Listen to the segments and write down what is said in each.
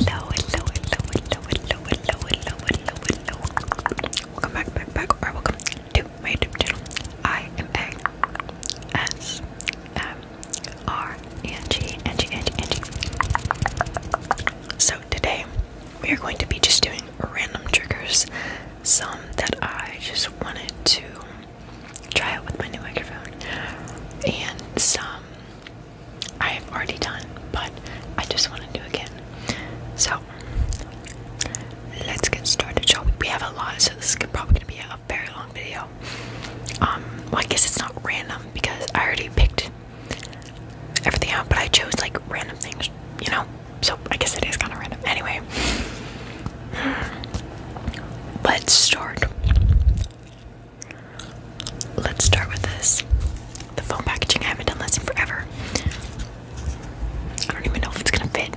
Hello, hello, hello, hello, hello, hello, hello, hello, hello. Welcome back, back, back, or welcome to my channel. I am A S M R So today we are going to be just doing random triggers, some that I just wanted to try out with my new microphone, and some I have already done, but I just want to do again. So let's get started, shall we? have a lot, so this is probably gonna be a very long video. Um, well, I guess it's not random because I already picked everything out, but I chose like random things, you know. So I guess it is kind of random. Anyway, let's start. Let's start with this. The foam packaging, I haven't done this in forever. I don't even know if it's gonna fit.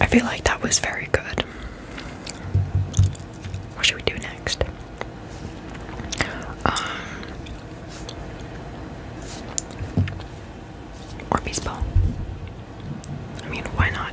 I feel like that was very good. What should we do next? Um, or baseball. I mean, why not?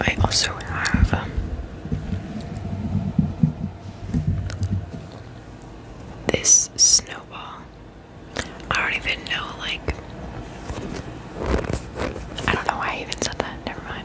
I also have um, this snowball. I don't even know, like, I don't know why I even said that. Never mind.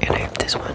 And I have this one.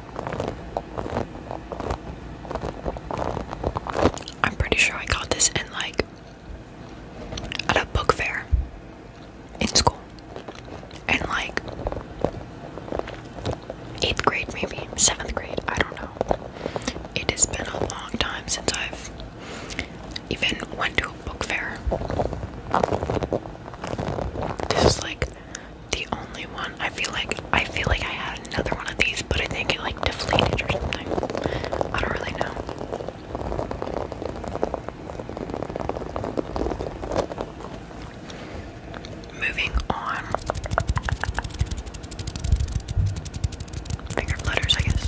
I'm pretty sure I got this in like at a book fair in school. And like eighth grade maybe, seventh grade, I don't know. It has been a long time since I've even went to a book fair. This is like the only one. I feel like I feel like I had another one of these, but I think it like deflated or something. I don't really know. Moving on. Finger letters, I guess.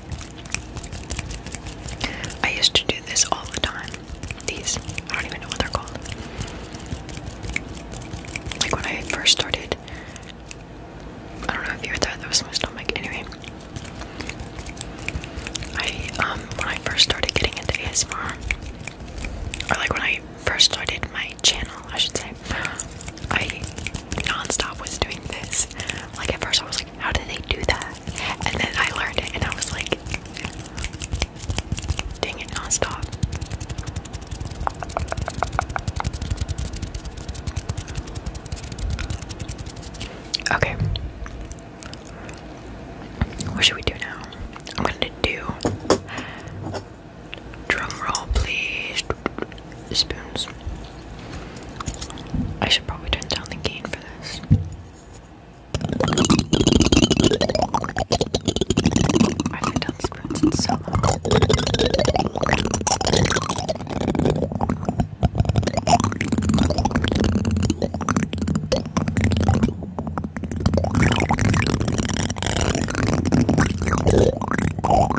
I used to do this all the time. These, I don't even know what they're called. Like when I first started, I don't know if you were there, that was my stomach. Anyway, I, um, when I first started getting into ASMR, or like when I first started my channel, I should say, I nonstop was doing this. Like at first, I was like, "How did they do that?" And then I learned it, and I was like, "Dang it, nonstop." Okay. What should we do now? I'm gonna do drum roll, please. Spoons. I should probably turn down the gain for this. I have done spoons in so long.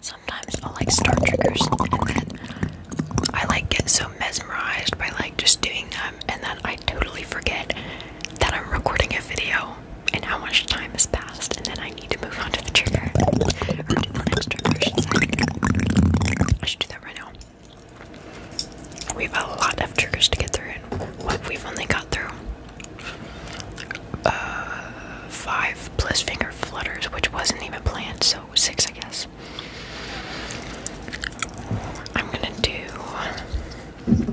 Sometimes i like Star triggers and then I like get so mesmerized by like just doing them and then I totally forget that I'm recording a video and how much time has passed and then I need to move on trigger We have a lot of triggers to get through, and what we've only got through uh, five plus finger flutters, which wasn't even planned, so six, I guess. I'm gonna do.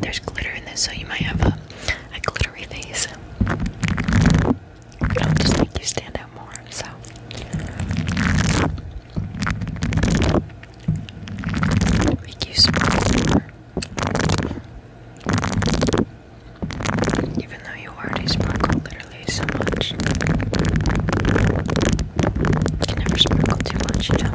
there's glitter in this, so you might have a, glittery face. It'll just make you stand out more. So. Make you smaller. Even though you already sparkle literally so much, you can never sparkle too much, you know?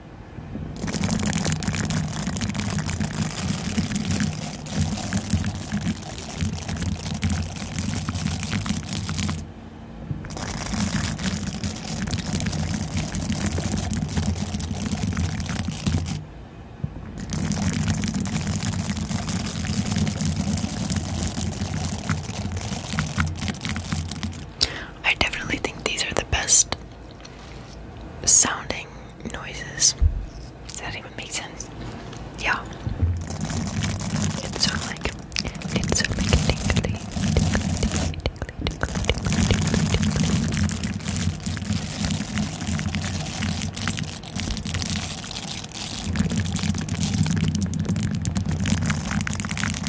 I definitely think these are the best sounding noises. Does that even make sense? Yeah. It's sort like it's sort of like tingly, tingly, tingly, tingly, tingly, tingly, tingly.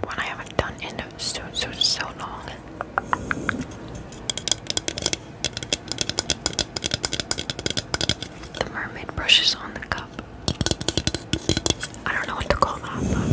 One I haven't done in so so so long. The mermaid brushes on the cup. I don't know what to call that,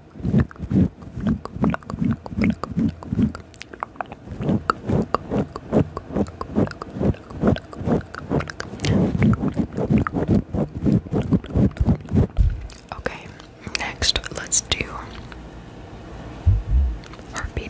Okay, next let's do heartbeat.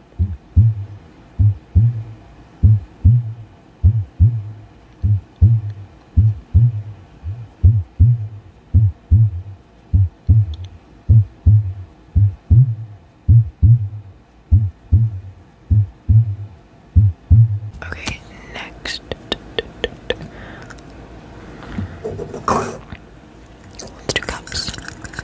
Okay, next. Let's do cups.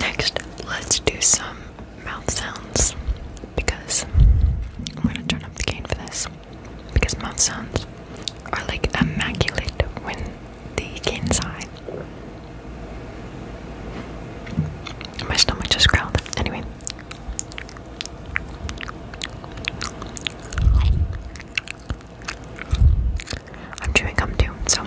Next, let's do some mouth sounds because I'm gonna turn up the gain for this because mouth sounds are like immaculate when the gain's high. My stomach just growled. Anyway. I'm chewing gum too, so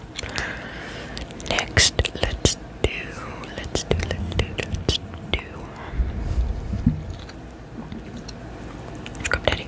Next, let's do, let's do, let's do, let's do. Come, Daddy.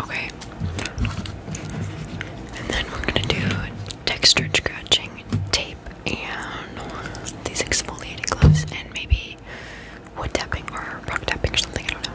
Okay. And then we're going to do texture scratching, tape, and these exfoliating gloves, and maybe wood tapping or rock tapping or something, I don't know.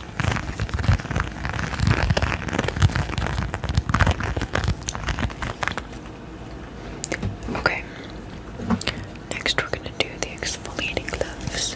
Okay. Next, we're gonna do the exfoliating gloves.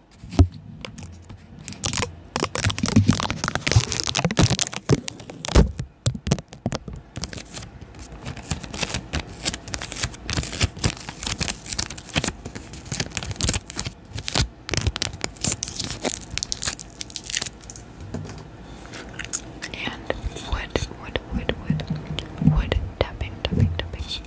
And wood, wood, wood, wood, wood tapping, tapping, tapping.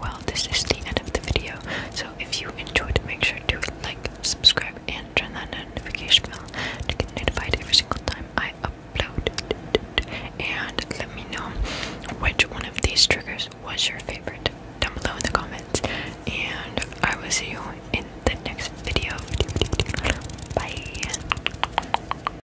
Well, this is the end of the video. So if you enjoyed, make sure to like, subscribe, and turn that notification bell to get notified every single time I upload. And let me know which one of these triggers was your favorite down below in the comments. And I will see you in the next video. Bye.